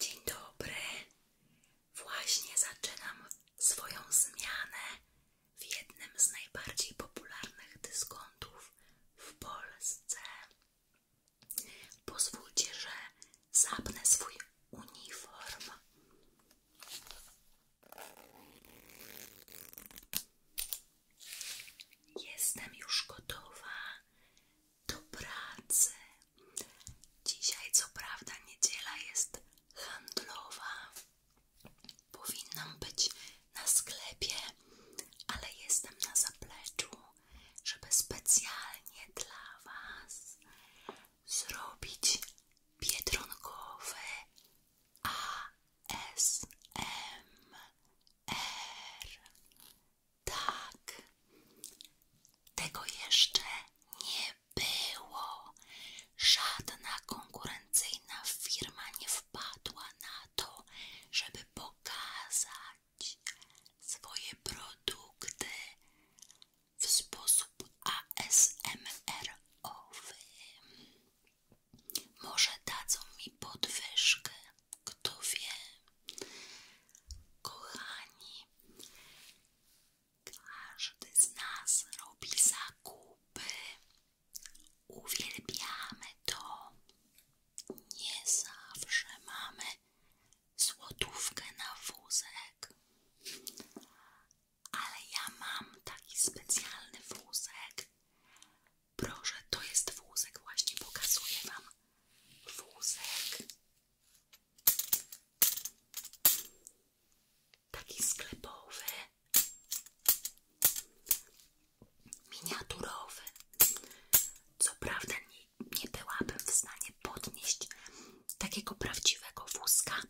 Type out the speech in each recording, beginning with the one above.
Dzień dobry. Właśnie zaczynam swoją zmianę w jednym z najbardziej popularnych dyskontów w Polsce. Pozwólcie, że zabnę swój uniform. Jestem już gotowa do pracy. Dzisiaj, co prawda, niedziela jest handlowa. Powinnam być na sklepie, ale jestem na zapleczu, żeby specjalnie dla Was zrobić biedronkowy ASMR. Tak, tego jeszcze nie było. Żadna konkurencyjna firma nie wpadła na to, żeby pokazać swoje produkty w sposób ASMR-owy. Może dadzą mi podwyżkę. Kto wie? Kochani, każdy z nas robi zakupy. Uwielbiamy to. Nie zawsze mamy złotówkę na wózek. Ale ja mam taki specjalny wózek. Proszę, to jest wózek, właśnie pokazuję Wam. Wózek Taki sklepowy, miniaturowy. Co prawda nie, nie byłabym w stanie podnieść takiego prawdziwego wózka.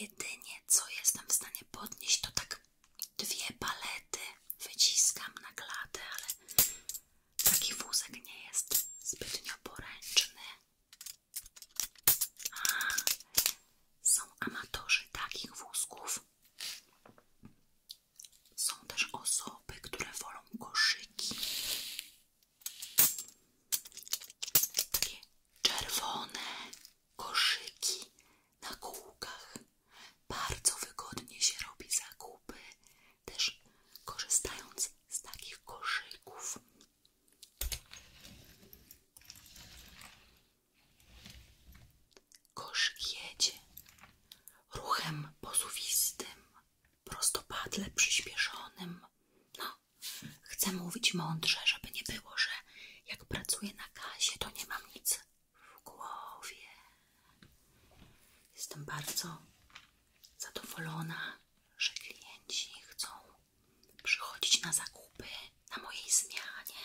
Jedynie co jestem w stanie podnieść to tak dwie palety. Wyciskam na klatę, ale Taki wózek nie jest zbytnio poręczny. A, są amatorzy takich wózków. Są też osoby, które wolą koszyki. Takie czerwone koszyki na kółkach. Bardzo wygodnie się robi zakupy też korzystając z takich koszyków. Koszyk jedzie ruchem posuwistym, prostopadle przyśpieszonym. No, chcę mówić mądrze, żeby nie było, że jak pracuję na kasie, to nie mam nic w głowie. Jestem bardzo zadowolona, że klienci chcą przychodzić na zakupy na mojej zmianie.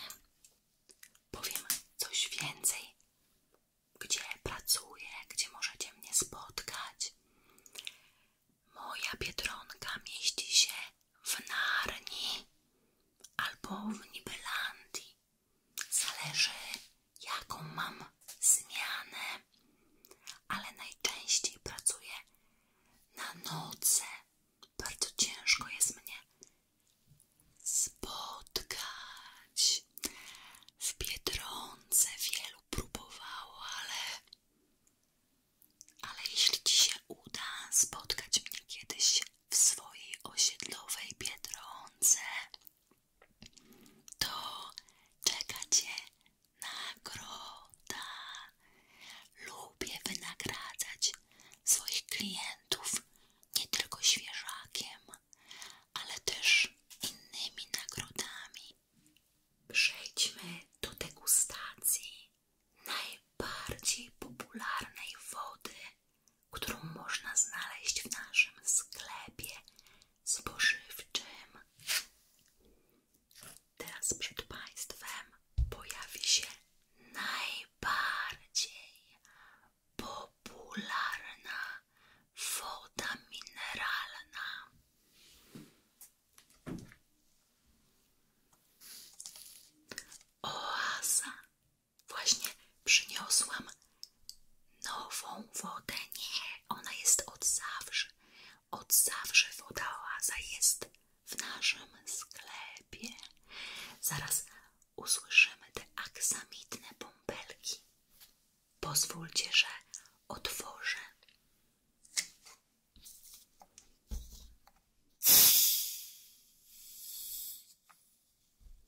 Powiem coś więcej, gdzie pracuję, gdzie możecie mnie spotkać. Moja biedronka mieści się w Narni albo w Nibelandii. Zależy jaką mam zmianę, ale najczęściej pracuję na nocy. Bardzo ciężko jest mnie spotkać. W Biedronce wielu próbowało, ale, ale jeśli Ci się uda spotkać mnie kiedyś w swojej osiedlowej Biedronce, to czeka Cię nagroda. Lubię wynagradzać swoich klientów nie tylko świeżakiem, ale też innymi nagrodami. Przejdźmy do degustacji najbardziej popularnej wody, którą można znaleźć w naszym sklepie spożywczym. Teraz przed Państwem pojawi się najbardziej popularna woda mineralna. Oaza. Właśnie przyniosłam nową wodę. Nie, ona jest od zawsze. Od zawsze woda oaza jest w naszym sklepie. Zaraz usłyszymy te aksamitne bąbelki. Pozwólcie, że otworzę.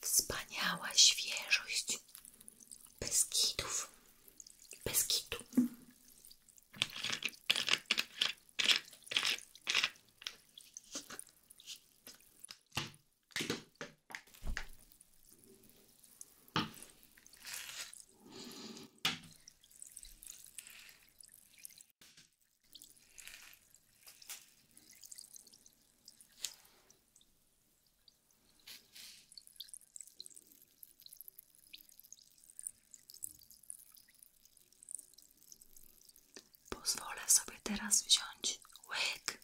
Wspaniała świeżość Beskidów. Beskidu. Pozwolę sobie teraz wziąć łyk.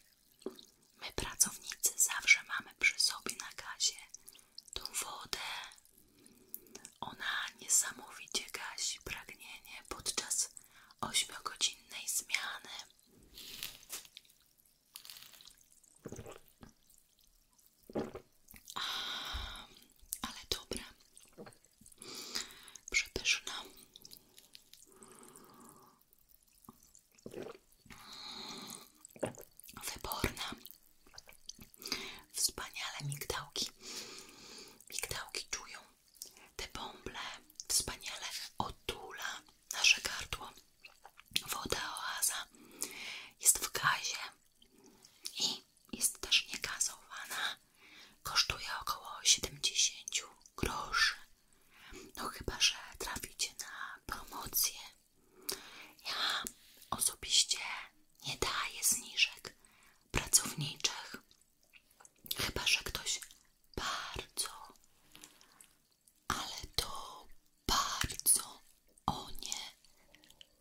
My, pracownicy, zawsze mamy przy sobie na gazie tą wodę ona niesamowicie gasi pragnienie podczas ośmiogodzinnej zmiany. A, ale dobre, przepyszne. Wyborna. Wspaniale migdałki. Migdałki czują te bąble. Wspaniale otula nasze gardło. Woda oaza jest w gazie i jest też niegazowana. Kosztuje około 70 groszy. No chyba, że traficie na promocję. Ja osobiście nie daję zniżek, pracowniczych. Chyba, że ktoś bardzo, ale to bardzo o nie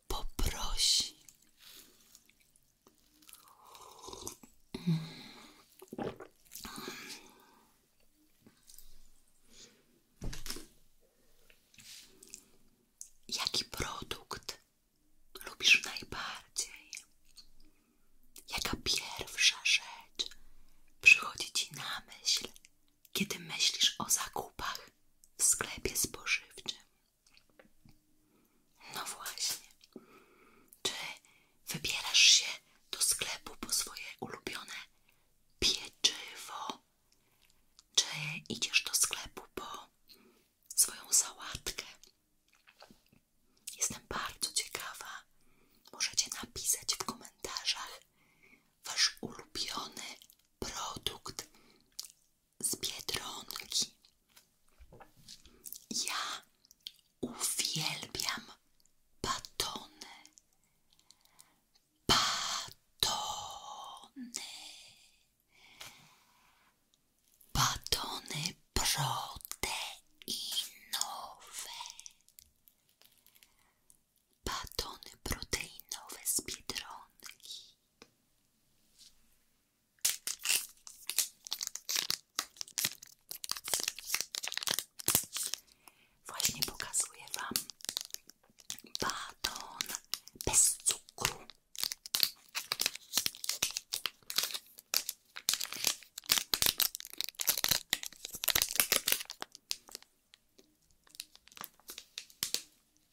poprosi. Mm. Jaki produkt lubisz najbardziej? Jaka pierwsza rzecz przychodzi ci na myśl, kiedy myślisz o zakupach w sklepie spożywczym? No właśnie. Czy wybierasz się do sklepu po swoje ulubione pieczywo? Czy idziesz do sklepu po swoją sałatkę. Jestem bardzo ciekawa. Możecie napisać w komentarzach wasz ulubiony produkt z Biedronki. Ja uwielbiam batony. Batony. Batony proteinowe. Batony proteinowe z Biedronki. Właśnie pokazuję Wam baton bez cukru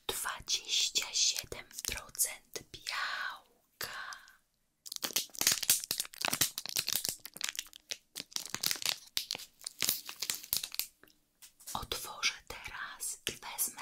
Dwadzieścia siedem procent białka. Otworzę teraz i wezmę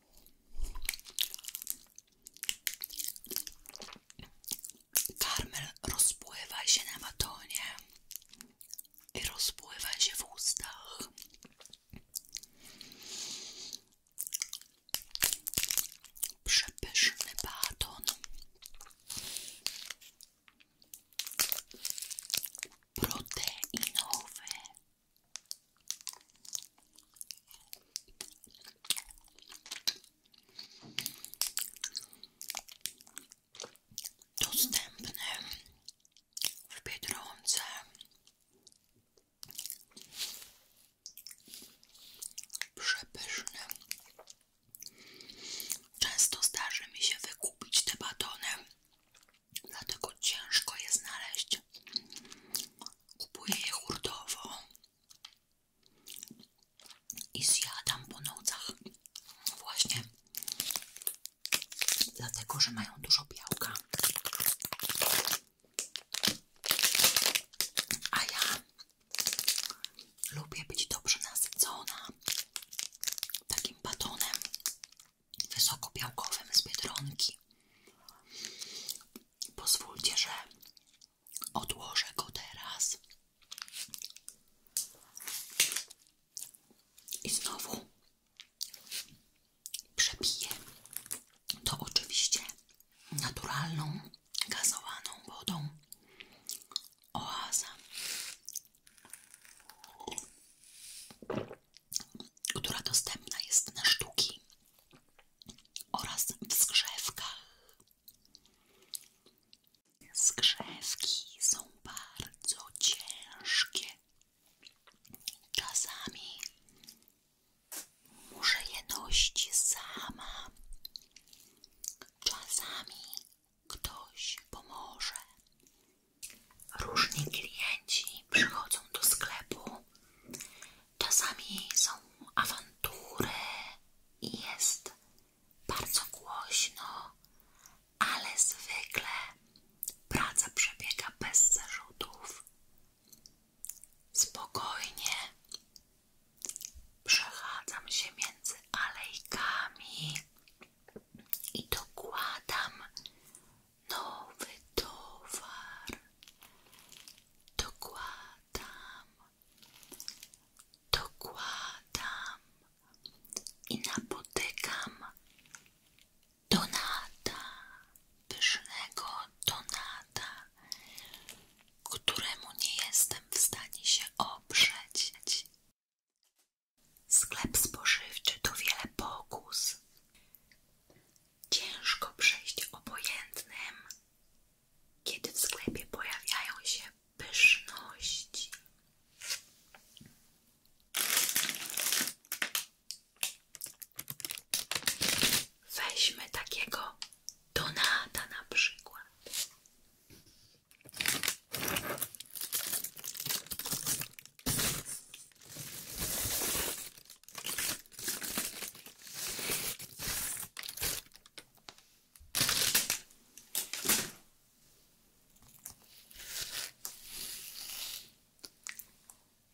Karmel rozpływa się na batonie i rozpływa się w ustach. Przepyszny baton. Proteinowy. Dostępny w Biedronce. Przepyszny. Często zdarzy mi się wykupić te batony dlatego ciężko je znaleźć. Kupuję je hurtowo i zjadam po nocach właśnie dlatego, że mają dużo białka. A ja lubię być dobrze nasycona takim batonem wysokobiałkowym z Biedronki. Pozwólcie, że odłożę go teraz. I znowu przepiję to oczywiście naturalną, gazowaną wodą oaza która dostępna jest na sztuki oraz w zgrzewkach. Zgrzewki są bardzo ciężkie. Czasami może je nosić sama. Czasami ktoś pomoże. Różni klienci przychodzą do sklepu. Czasami są awantury i jest bardzo głośno, ale zwykle praca przebiega bez zarzutów. Spokojnie przechadzam się między alejkami i dokładam nowy towar dokładam dokładam i napotykam Donata pysznego Donata któremu nie jestem w stanie się oprzeć Sklep spożywczy to wiele pokus. Ciężko przejść obojętnym, kiedy w sklepie pojawiają się pyszności. Weźmy takiego Donata na przykład.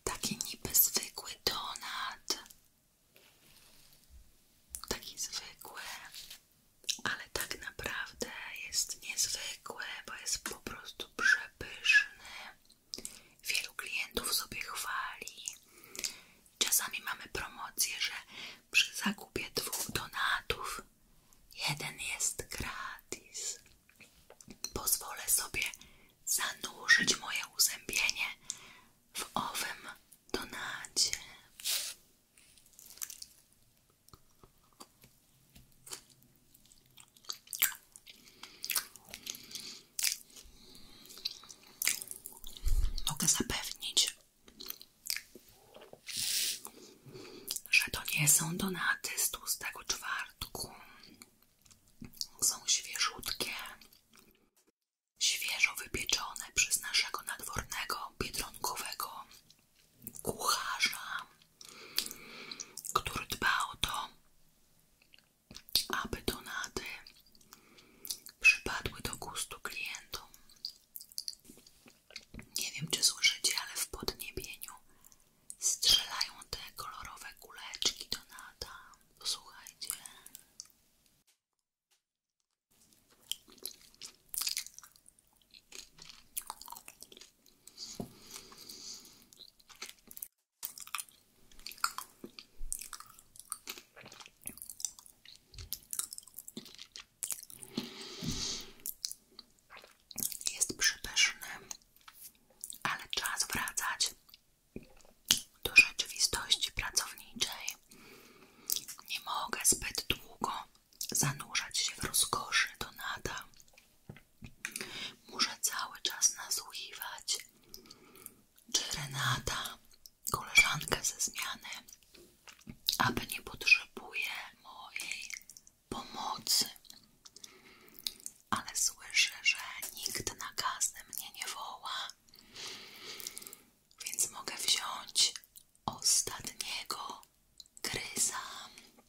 Taki niby zwykły donat. Taki zwykły, ale tak naprawdę jest niezwykły, bo jest po prostu przepyszny. Wielu klientów sobie chwali. Czasami mamy promocję, że przy zakupie dwóch donatów jeden jest gratis. Pozwolę sobie zanurzyć moje uzębienie w owym donacie. Mogę zapewnić, że to nie są donaty z tego czwartku. Są świeżutkie, świeżo wypieczone przez naszego nadwornego, biedronkowego kucharza który dba o to, aby donaty przypadły do gustu klientom. Nie wiem, czy słyszycie, ale w podniebieniu strzelają te kolorowe kuleczki donata. Posłuchajcie. Jest przypyszny, ale czas wracać do rzeczywistości pracowniczej. Nie mogę zbyt długo zanurzać się w rozkoszy Donata. Muszę cały czas nasłuchiwać, czy Renata, koleżanka ze zmiany, aby nie potrzebuje mojej pomocy. Ale słyszę, że nikt na kasę mnie nie woła, więc mogę wziąć ostatniego gryza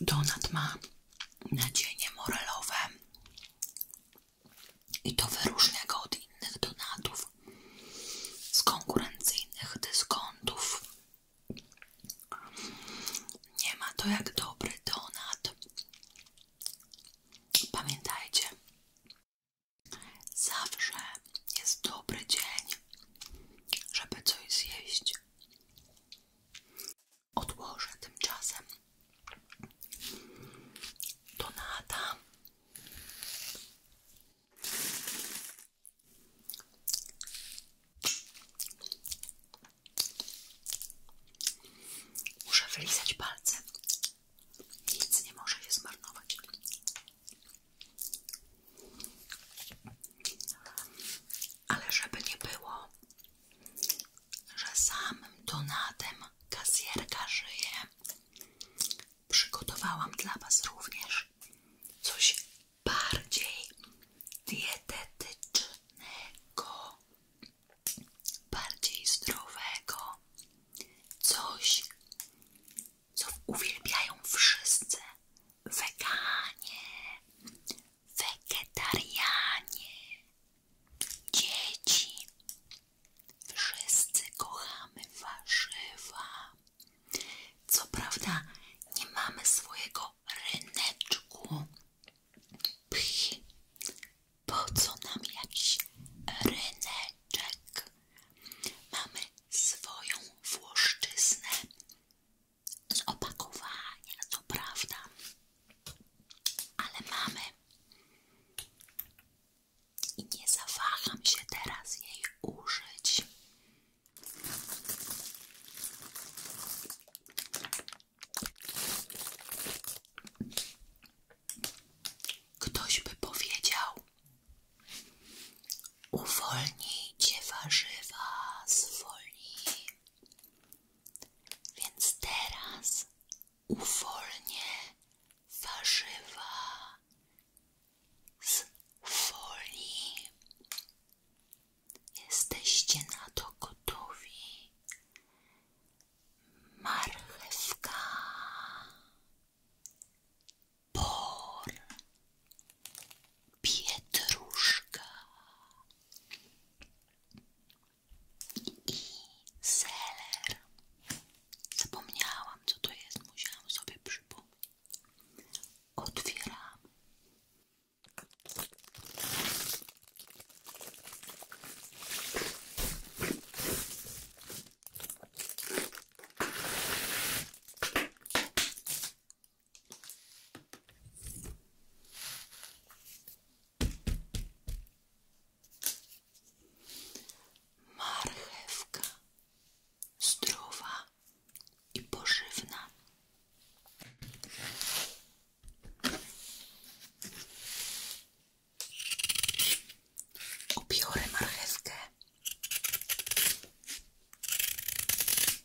Donat ma nadzieję morelowe i to wyróżnia go od innych donatów z konkurencyjnych dyskontów. Nie ma to jak dobry donat. Pamiętajcie, zawsze jest dobry dzień, żeby coś zjeść. Odłożę tymczasem Donata Muszę wylizać palce. Nic nie może się zmarnować. Ale żeby nie było, że samym donatem kasjerka żyje, przygotowałam dla Was również coś bardziej dietetycznego, bardziej zdrowego, coś co uwielbiają wszyscy. Weganie, wegetarianie, dzieci. Wszyscy kochamy warzywa. Co prawda nie mamy swojego ryneczku. Pch. Po co nam jakiś ryneczek? Mamy swoją włoszczyznę, z opakowania, to prawda, ale mamy i nie zawaham się teraz jej użyć. Ktoś by powiedział, Uwolnijcie warzywa z folii. Więc teraz uwolnię warzywa z folii. Jesteście na to gotowi. Marchewka por, pietruszka i seler. Zapomniałam, co to jest, musiałam sobie przypomnieć. Otwieram. Marchewka zdrowa i pożywna. Obiorę marchewkę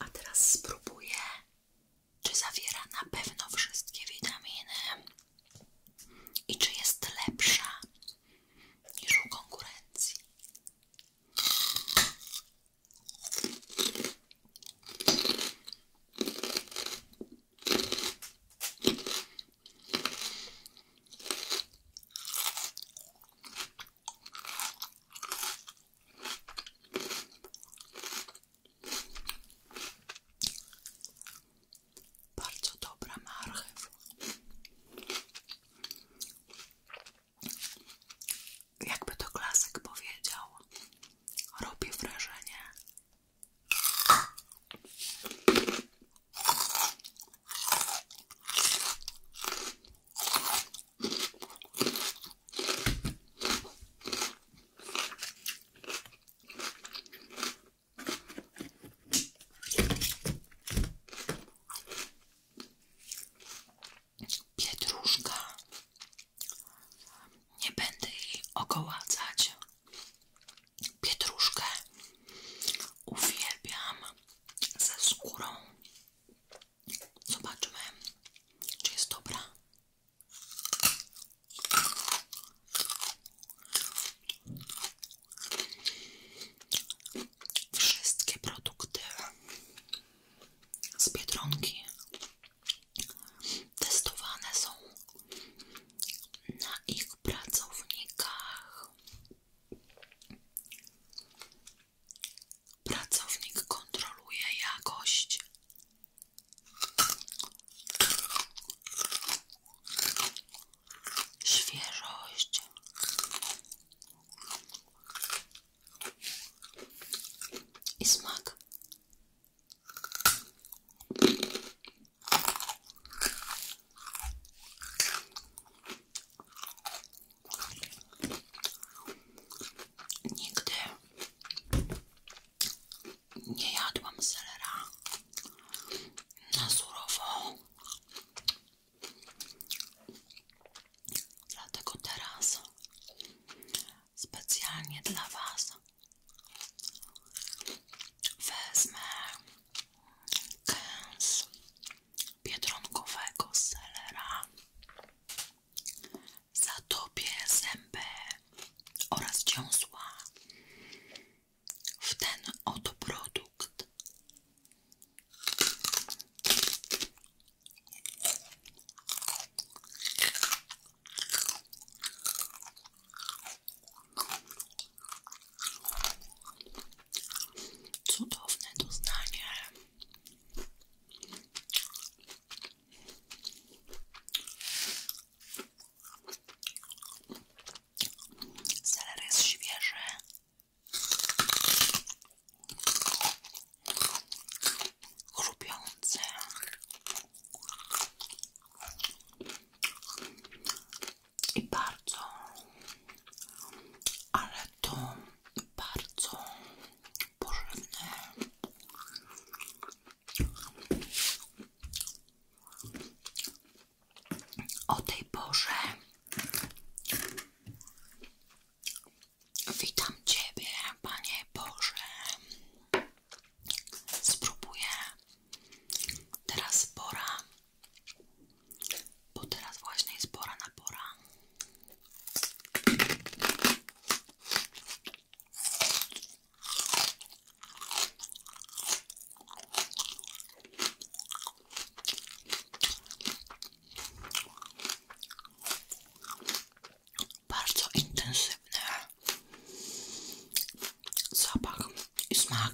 A teraz spróbuję, czy zawiera na pewno wszystkie witaminy i czy jest lepsza niż konkurencji. Bardzo dobra marchew. Jakby to klasyk powiedział, robi wrażenie. Pietruszka. Nie będę jej okołacać. Pietruszkę uwielbiam ze skórą Zobaczmy, czy jest dobra. Wszystkie produkty z Biedronki testowane są na ich pracownikach. Pracownik kontroluje jakość. Świeżość. I smak. Nigdy nie jadłam selera na surowo. teraz specjalnie dla Was wezmę kęs biedronkowego selera za Tobie, zęby oraz dziąsła w ten oto Cudowne doznanie. Seler jest świeży. Chrupiący. I bardzo, ale to bardzo pożywny. O tej porze witam Ciebie, Panie Boże. Spróbuję teraz pora, bo teraz właśnie jest pora na pora. Bardzo intensywny zapach i smak.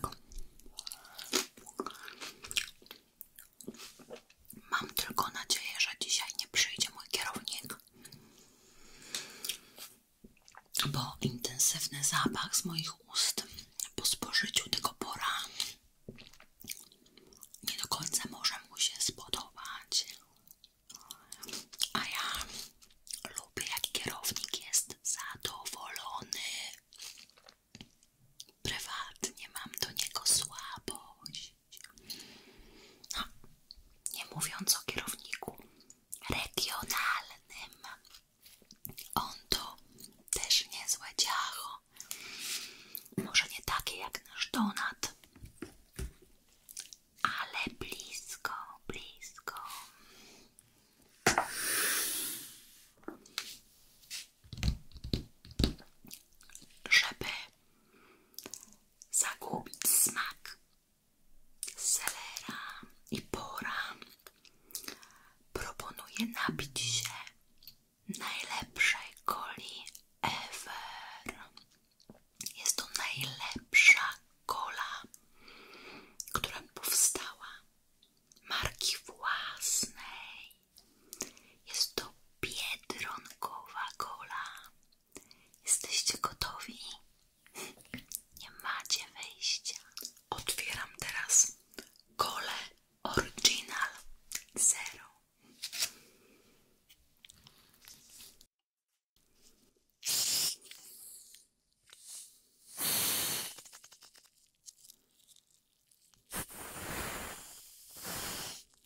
Mam tylko nadzieję, że dzisiaj nie przyjdzie mój kierownik, bo intensywny zapach z moich ust po spożyciu tego pora nie do końca może mu się spodobać. A ja lubię, jak kierownik jest zadowolony. Prywatnie mam do niego słabość. No, nie mówiąc o kierowniku regionalnym, on to też nie niezłe ciacho. Może nie takie jak nasz Donat, ale blisko, blisko. Żeby zagubić smak selera i pora proponuję napić się najlepszej coli ever jest to najlepsza cola, która powstała marki własnej jest to biedronkowa kola. Jesteście gotowi? Nie macie wejścia. Otwieram teraz kole Original Zero.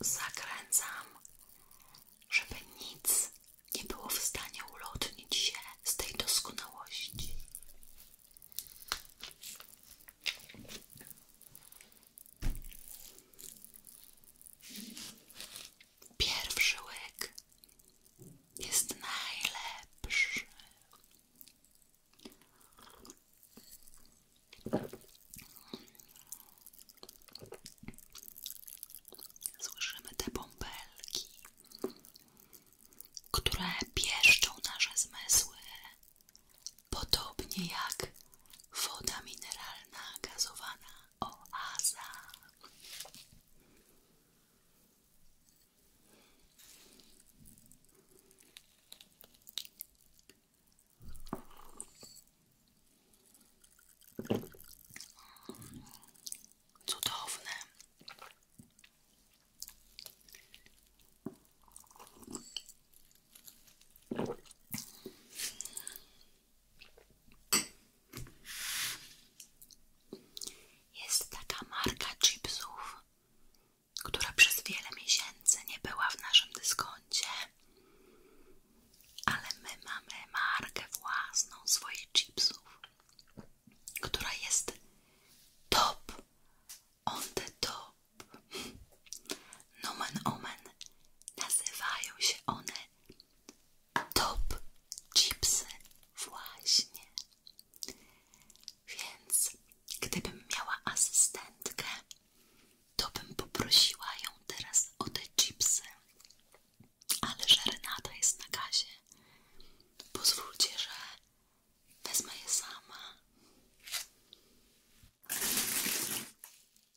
Zakręcam, żeby nic nie było w stanie ulotnić się z tej doskonałości. Pierwszy łyk jest najlepszy. Słyszymy te bąbelki, które pieszczą nasze zmysły, Podobnie jak woda mineralna gazowana oaza. Cudowne. Jest taka marka chipsów, która przez wiele miesięcy nie była w naszym dyskoncie, ale my mamy markę własną swoich chipsów, która jest top on the top Nomen omen nazywają się one top chipsy właśnie. Więc gdybym miała asystentkę, to bym poprosiła ją teraz o te chipsy. Ale że Renata jest na gazie. Pozwólcie, że wezmę je sama.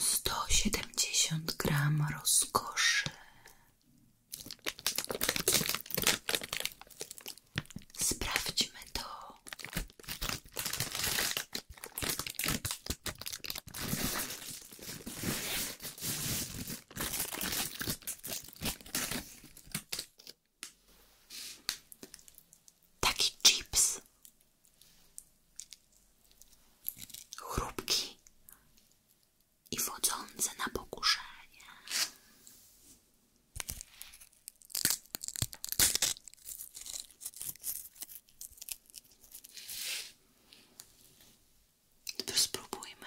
Sto gram rozkoszy Sprawdźmy to Taki chips. Chrupki i wodzące na pokuszenie. spróbujmy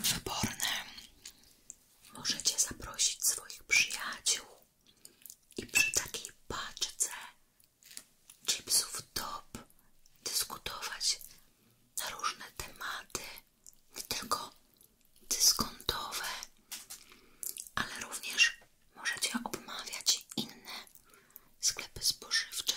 Wyborne. Możecie zaprosić swoich przyjaciół i przy takiej paczce chipsów top dyskutować na różne tematy, nie tylko dyskontowe, ale również możecie obmawiać inne sklepy spożywcze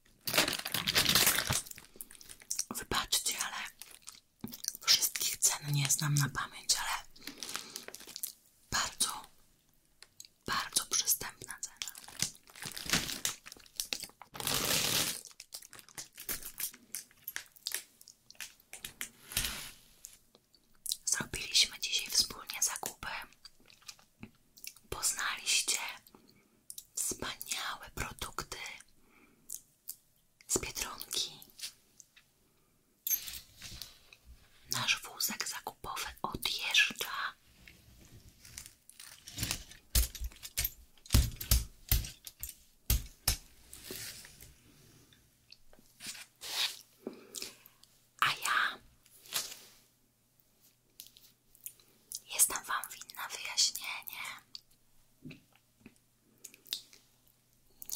Wybaczcie, ale wszystkich cen nie znam na pamięć, ale bardzo, bardzo przystępna cena. Zrobiliśmy dzisiaj wspólnie zakupy. Poznaliście wspaniałe produkty z Biedronki. Nasz wózek zakupowy odjeżdża. A ja Jestem Wam winna wyjaśnienie.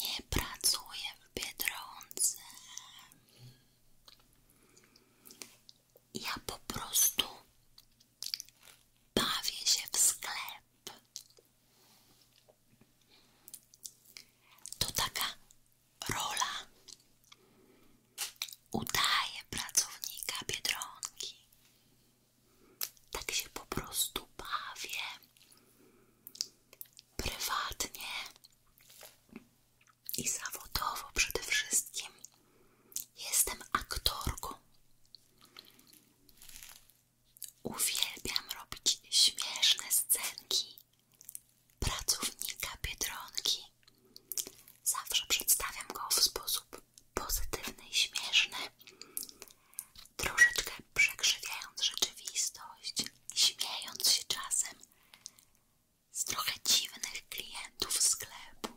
Nie pracuję w Biedronce. Ja po prostu bawię się w sklep. To taka rola. Udaję pracownika Biedronki. Tak się po prostu bawię. Prywatnie i zawodowo przede wszystkim jestem aktorką. Uwielbiam robić śmieszne scenki pracownika Biedronki. Zawsze przedstawiam go w sposób pozytywny i śmieszny, troszeczkę przekrzywiając rzeczywistość, śmiejąc się czasem z trochę dziwnych klientów sklepu.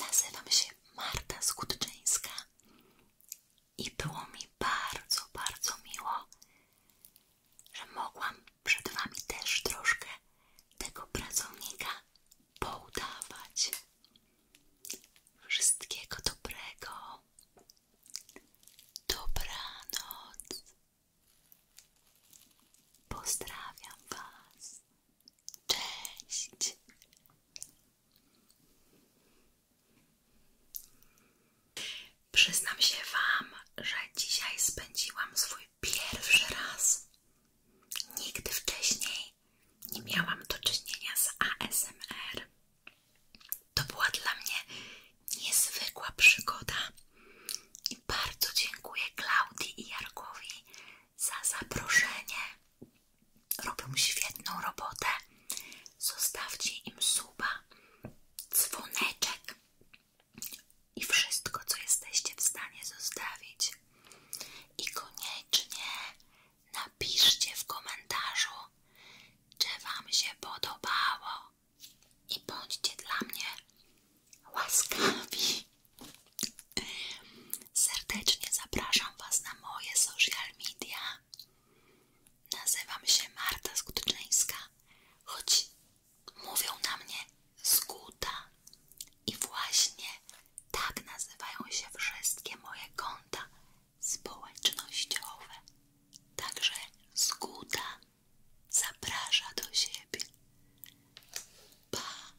Nazywam się Marta Skutczyńska i było mi bardzo, bardzo miło, że mogłam przed Wami też troszkę tego pracownika poudawać. Wszystkiego dobrego. Dobranoc. Pozdrawiam Was. Przyznam się Wam, że dzisiaj spędziłam swój Pierwszy raz. Nigdy wcześniej nie miałam do czynienia z ASMR. To była dla mnie niezwykła przygoda. I bardzo dziękuję Klaudii i Jarkowi za zaproszenie. Robią świetną robotę. Zostawcie im suba, dzwoneczek i wszystko, co jesteście w stanie zostawić. I koniecznie napiszcie w komentarzu, czy Wam się podobało. I bądźcie dla mnie łaskawi. Serdecznie zapraszam Was na moje social media. Nazywam się Marta Skutczyńska, choć mówią na mnie Skuta. I właśnie tak nazywają się wszystkie moje konta społecznościowe. Także Skuta zaprasza do siebie. Pa!